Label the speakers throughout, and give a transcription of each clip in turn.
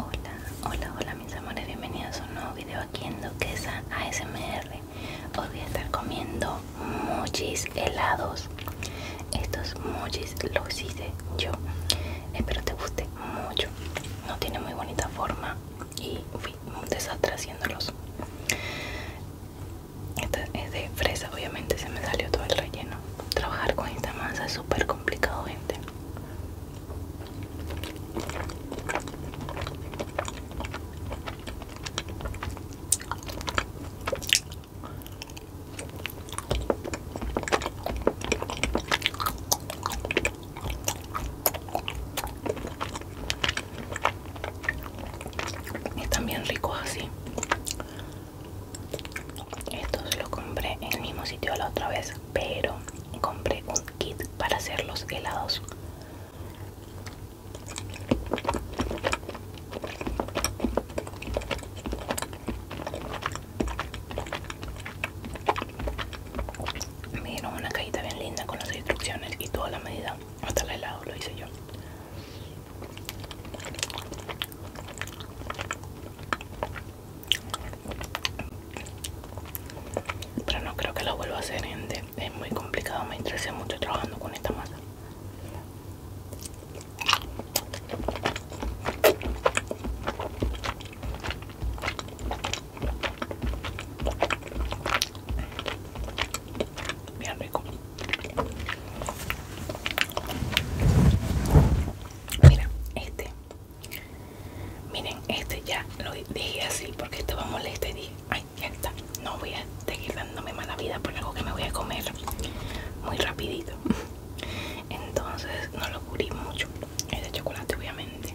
Speaker 1: Hola, hola, hola mis amores, bienvenidos a un nuevo video aquí en Doquesa ASMR Hoy voy a estar comiendo mochis helados Estos mochis los hice yo Espero te guste mucho No tiene muy bonita forma y fui un desastre haciéndolos Esta es de fresa, obviamente se me salió todo el relleno Trabajar con esta masa es súper complicado gente y bien rico así estos los compré en el mismo sitio la otra vez, pero compré un kit para hacer los helados. Me dieron una cajita bien linda con las instrucciones y toda la medida. Hasta el helado lo hice yo. Pero no creo que lo vuelva a hacer, gente. Es muy complicado, me interesé mucho trabajando con esta masa. Bien rico. Mira, este. Miren, este ya lo dejé así porque estaba molesta y dije, ay, ya está. No voy a seguir dándome mala vida por algo que me voy a comer muy rapidito. Entonces no lo cubrí mucho. Es de chocolate, obviamente.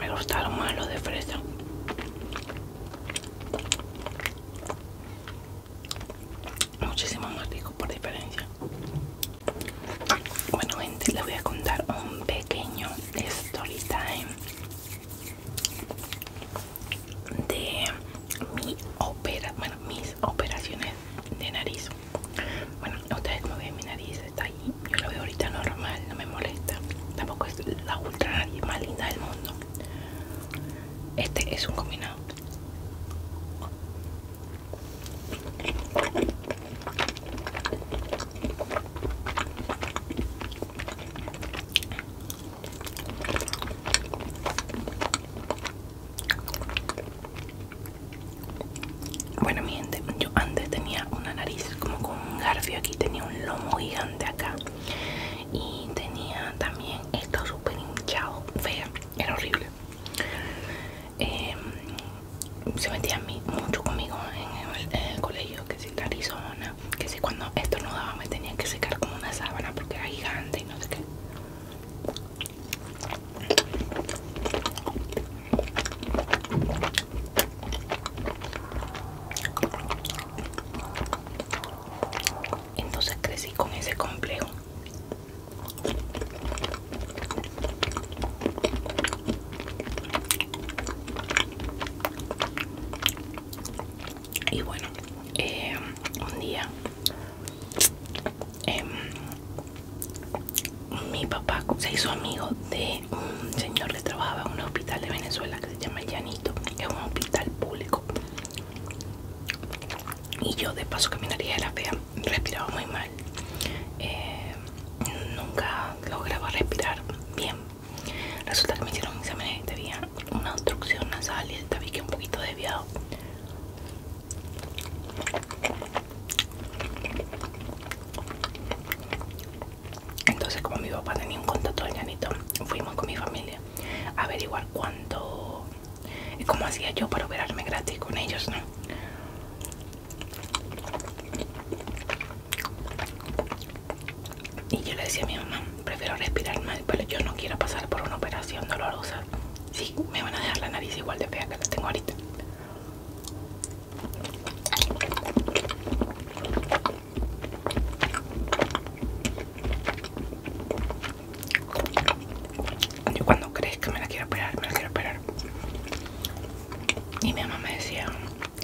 Speaker 1: Me gustaron más los de fresa. Muchísimo más rico por diferencia. Bueno gente, les voy a contar un pequeño story time de mi mis operaciones de nariz. Bueno, ustedes me ven mi nariz está ahí, yo la veo ahorita normal, no me molesta. Tampoco es la ultra nariz más linda del mundo. Este es un combinado. Bueno, mi gente, yo antes tenía una nariz como con un garfio aquí, tenía un lomo gigante acá y tenía también esto súper hinchado, fea, era horrible. Em, se metía mucho conmigo en el, colegio, que es Arizona, que si cuando esto no daba, me tenía que secar como una sábana porque era gigante y no sé qué entonces crecí con ese complejo y bueno eh, un día em, mi papá se hizo amigo de un señor que trabajaba en un hospital de Venezuela que se llama El Llanito, que es un hospital público. Y yo de paso caminaría de la fea, respiraba muy mal. Eh, nunca lograba respirar bien. Resulta que me hicieron un examen y tenía este una obstrucción nasal y el tabique un poquito desviado. Entonces, como mi papá tenía un contacto al fuimos con mi familia a averiguar cuánto. y eh, cómo hacía yo para operarme gratis con ellos, ¿no? Y yo le decía a mi mamá, prefiero respirar mal, pero yo no quiero pasar por una operación dolorosa. Sí, me van a dejar la nariz igual de fea que la tengo ahorita. Yo cuando crees que me la quiero operar, me la quiero operar. Y mi mamá me decía,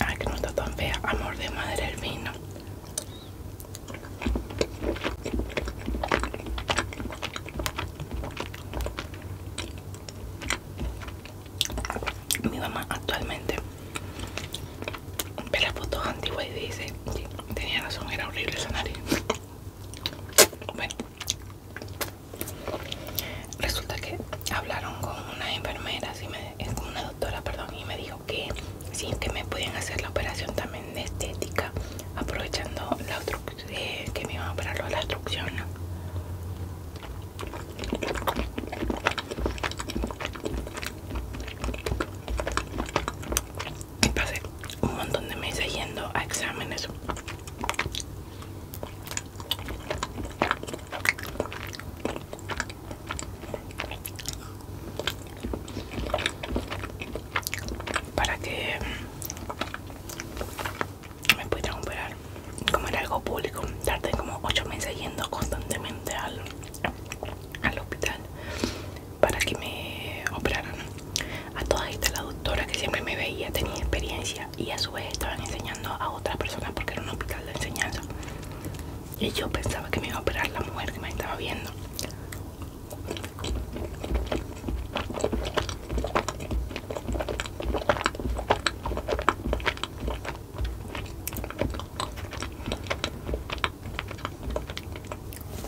Speaker 1: Ay, que no está tan fea. Amor de madre el vino. Mi mamá actualmente ve las fotos antiguas y dice, tenía razón, era horrible esa nariz. Bueno, resulta que hablaron con una enfermeras y me es una doctora, perdón, y me dijo que sí, que me podían hacer la operación también de estética, aprovechando la eh, que me iban a operar la obstrucción. Y pasé un montón de meses yendo a exámenes para que me pudieran operar como era algo público tardé como 8 meses yendo constantemente al, al hospital para que me operaran a todas estas la doctora que siempre me veía tenía experiencia y a su vez estaban enseñando a otras personas porque era un hospital de enseñanza y yo pensaba que me iba a operar la mujer que me estaba viendo.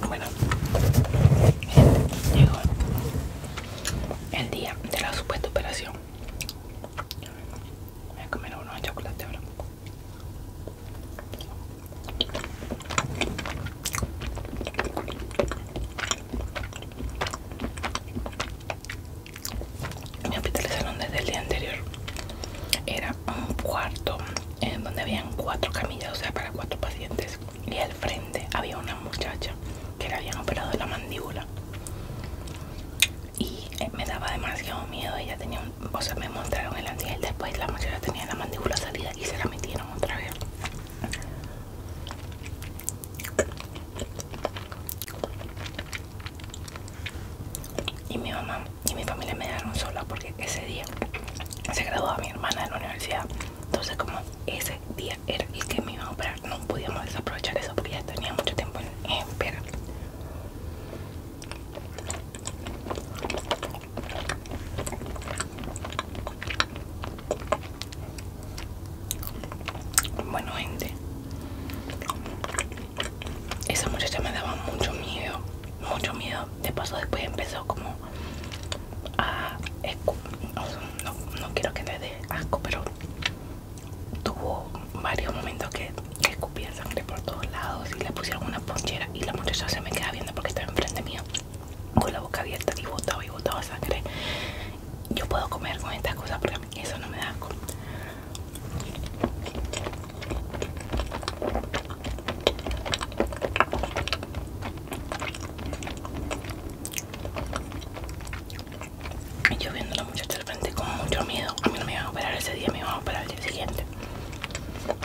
Speaker 1: Bueno, llegó el día de la supuesta operación. Voy a comer uno de chocolate ahora. Mi salón desde el día anterior. Era un cuarto en donde habían cuatro camillas, o sea, para cuatro pacientes. Y al frente había una muchacha que le habían operado la mandíbula y eh, me daba demasiado miedo. Ella tenía o sea, me mostraron el y después, la muchacha tenía la mandíbula salida y se la metieron otra vez. Y mi mamá y mi familia me dejaron sola porque ese día se graduó a mi hermana de la universidad. Entonces como ese día era el que me iba a operar, no podíamos desaprovechar eso porque ya tenía mucho tiempo Espera Bueno, gente, esa muchacha me daba mucho miedo, mucho miedo. De paso, después empezó como a. No, no quiero que me dé asco, pero tuvo varios momentos que escupía sangre por todos lados y le pusieron una ponchera y la muchacha se me queda viendo porque estaba enfrente mío. con la boca abierta y botaba y botaba sangre. Yo puedo comer con estas cosas porque eso no me da asco. Y yo viendo a la muchacha de frente con mucho miedo. A mí no me iban a operar ese día, me iban a operar el día siguiente.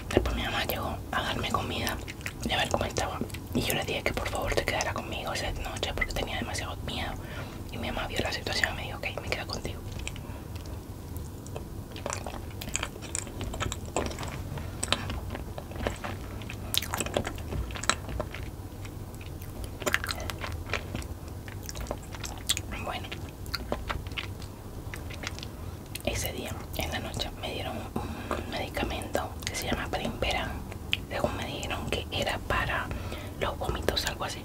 Speaker 1: Después mi mamá llegó a darme comida y a ver cómo estaba. Y yo le dije que por favor te quedara conmigo esa noche porque tenía demasiado miedo. Y mi mamá vio la situación y me dijo, ok, me quedo contigo. Bueno, ese día en la noche me dieron un medicamento que se llama Primperan. Según me dijeron que era para los vómitos, algo así.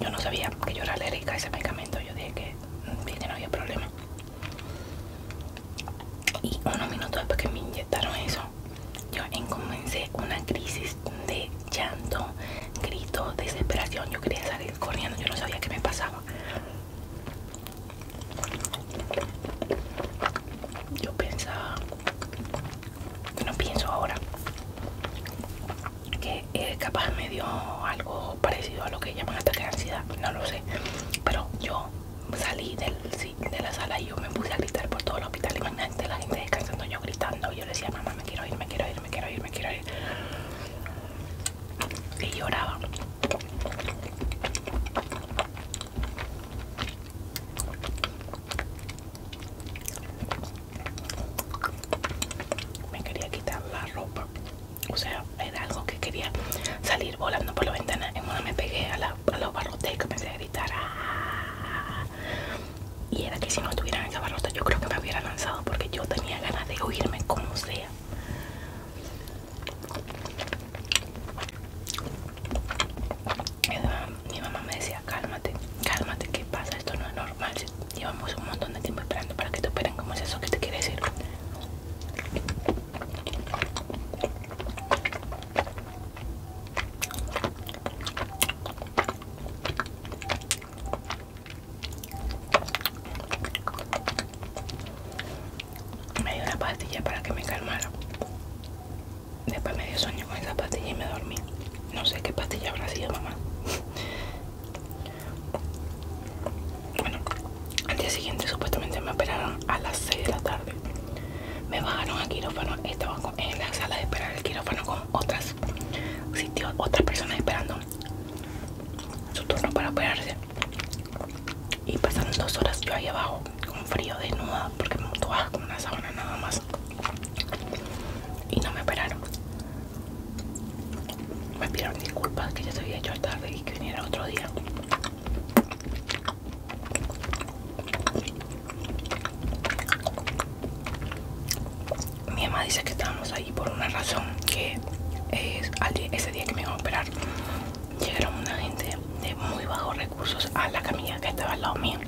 Speaker 1: Yo no sabía que yo era alérgica a ese medicamento. Yo dije que mm, no había problema. Y unos minutos después que me inyectaron eso, yo comencé una crisis de llanto, grito, desesperación. Yo quería salir corriendo, yo no sabía qué me pasaba. Yo pensaba, no pienso ahora, que eh, capaz me dio algo parecido a lo que llaman ataque de ansiedad, no lo sé. Pero yo salí del de la sala y yo me puse a gritar por todo el hospital. Imagínate la gente descansando, yo gritando. Y yo le decía, mamá, me quiero ir, me quiero ir, me quiero ir, me quiero ir. Y lloraba. Me quería quitar la ropa. O sea, era algo que quería salir volando por la ventana. En una me pegué a la los barrotes y comencé a gritar. Ah". Y era que si no estuvieran esa barrota yo creo que me hubiera lanzado porque yo tenía ganas de huirme como sea. Mi mamá me decía, cálmate, cálmate, ¿qué pasa? Esto no es normal. Llevamos un montón de tiempo esperando para que te operen. como es eso que te quiere decir? Me dio una pastilla para que me calmara. Después me dio sueño con esa pastilla y me dormí. No sé qué pastilla habrá sido, mamá. Bueno, al día siguiente supuestamente me operaron a las 6 de la tarde. Me bajaron al quirófano, Estaba en la sala de esperar el quirófano con otras sitios, otras personas esperando su turno para operarse. Y pasaron dos horas yo ahí abajo, con frío, desnuda, porque me con una sábana nada más. Y no me operaron. Me pidieron disculpas que ya se había hecho tarde y que viniera otro día. Mi mamá dice que estábamos ahí por una razón que es eh, ese día que me iban a operar llegaron una gente de muy bajos recursos a la camilla que estaba al lado mío.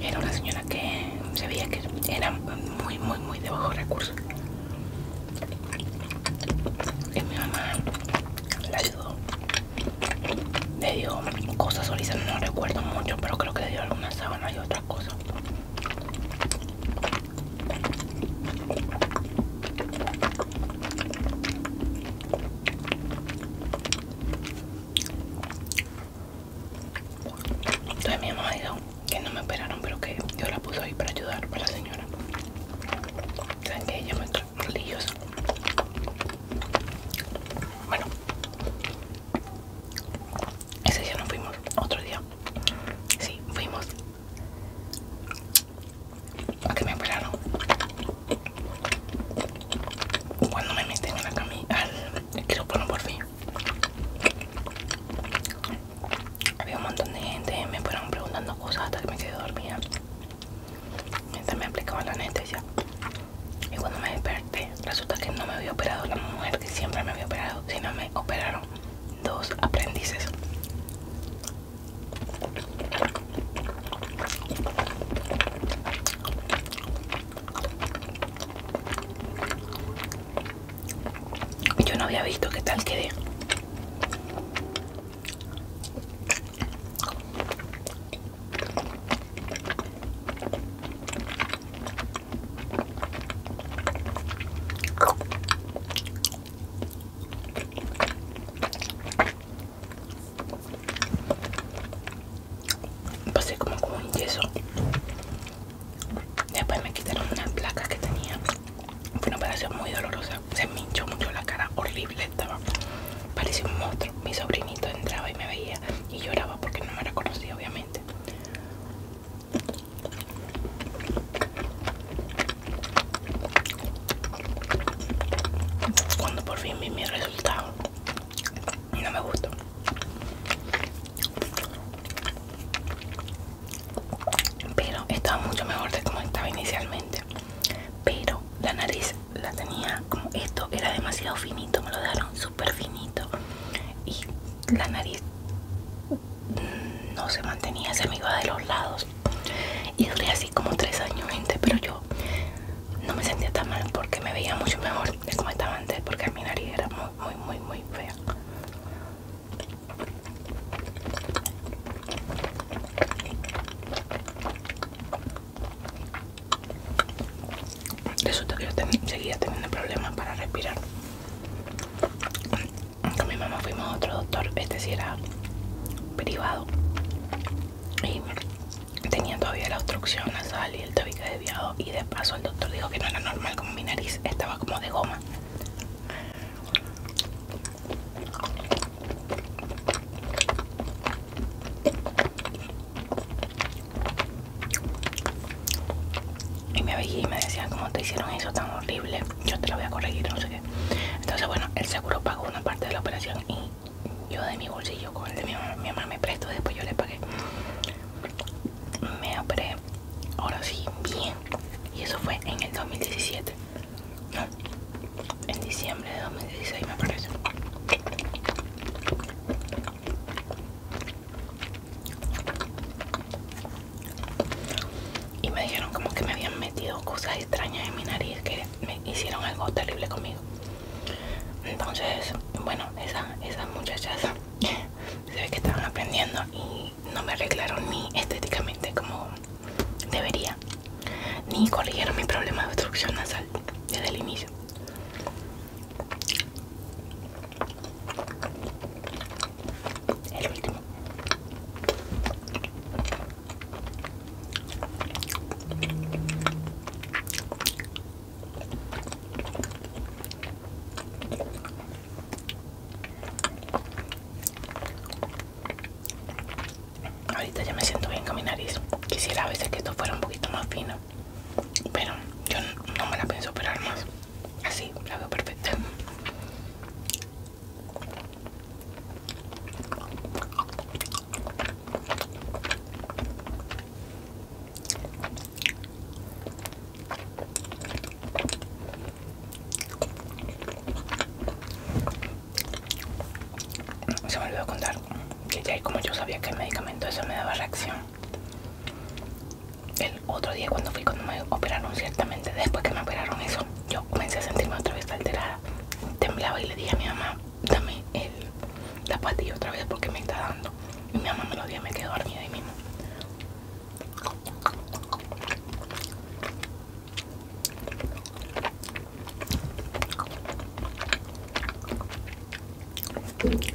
Speaker 1: Era una señora que se veía que era muy, muy, muy de bajos recursos. Y mi mamá la ayudó le dio cosas ahorita no recuerdo mucho pero creo que le dio alguna sábana y otras cosas. entonces mi mamá dicho que no me esperaron pero que yo la puse ahí para ayudar para la señora saben que ella me religiosa. Bueno, ese día no fuimos, otro día. Sí, fuimos a que me esperaron Cuando me meten en la camilla, al quirófano por fin. Había un montón de gente, me fueron preguntando cosas hasta que me quedé dormida. Entonces me aplicaba la anestesia. Y cuando me desperté, resulta que no me había operado la mujer que siempre me había operado, sino me operaron dos aprendices. Yo no había visto qué tal quedé. Pasé como con un yeso. Después me quitaron una placa que tenía. Fue una operación muy dolorosa se me hinchó mucho la cara, horrible estaba. Parecía un monstruo. Mi sobrinito entraba y me veía y lloraba porque no me reconocía, obviamente. Cuando por fin vi mi resultado, no me gustó pero estaba mucho mejor de como estaba inicialmente pero la nariz la tenía como esto era demasiado finito me lo dieron super finito y la nariz no se mantenía se me iba de los lados y duré así como tres años gente pero yo no me sentía tan mal porque me veía mucho mejor de como estaba antes porque mi nariz era muy muy muy fea Resulta que yo seguía teniendo problemas para respirar. Con mi mamá fuimos a otro doctor, este sí era privado. Y tenía todavía la obstrucción nasal y el tabique desviado. Y de paso el doctor dijo que no era normal como mi nariz estaba como de goma. Y me veía y me decía ¿cómo te hicieron eso tan horrible? Yo te lo voy a corregir, no sé qué. Entonces, bueno, el seguro pagó una parte de la operación y yo de mi bolsillo con el de mi mamá, mi mamá me prestó, después yo le pagué. Me operé, ahora sí, bien y eso fue en el 2017 no en diciembre de 2016 me parece y me dijeron como que me habían metido cosas extrañas en mi nariz que me hicieron algo terrible conmigo entonces bueno esas, esas muchachas se ve que estaban aprendiendo y no me arreglaron ni estéticamente como debería, ni corrigieron mi problema de obstrucción nasal desde el inicio. El último. Ahorita ya me siento bien con mi nariz. Quisiera a veces que esto fuera un poquito más fino. Pero yo no me la pienso operar más. Así, la veo perfecta. Se me olvidó contar que ya como yo sabía que el medicamento Eso me daba reacción. El otro día cuando fui cuando me operaron ciertamente, después que me operaron eso, yo comencé a sentirme otra vez alterada. Temblaba y le dije a mi mamá, dame el, la otra vez porque me está dando. Y mi mamá me lo dio y me quedó dormida ahí mismo.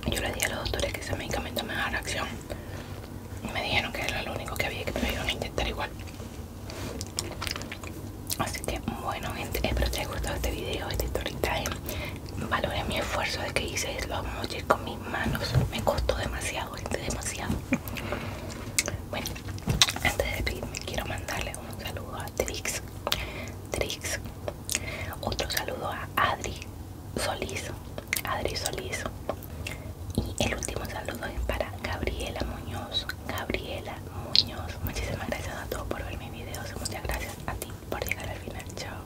Speaker 1: Yo le di a los doctores que ese medicamento me da reacción. Y me dijeron que era lo único que había que me iban intentar igual. Así que bueno gente, espero que haya gustado este video, este story time. Valoré mi esfuerzo de que hice los motion con mis manos. Me costó demasiado demasiado. Bueno, antes de irme quiero mandarle un saludo a Trix, Trix, otro saludo a Adri Solís, Adri Solís. Y el último saludo es para Gabriela Muñoz, Gabriela Muñoz. Muchísimas gracias a todos por ver mis videos. Muchas gracias a ti por llegar al final. Chao.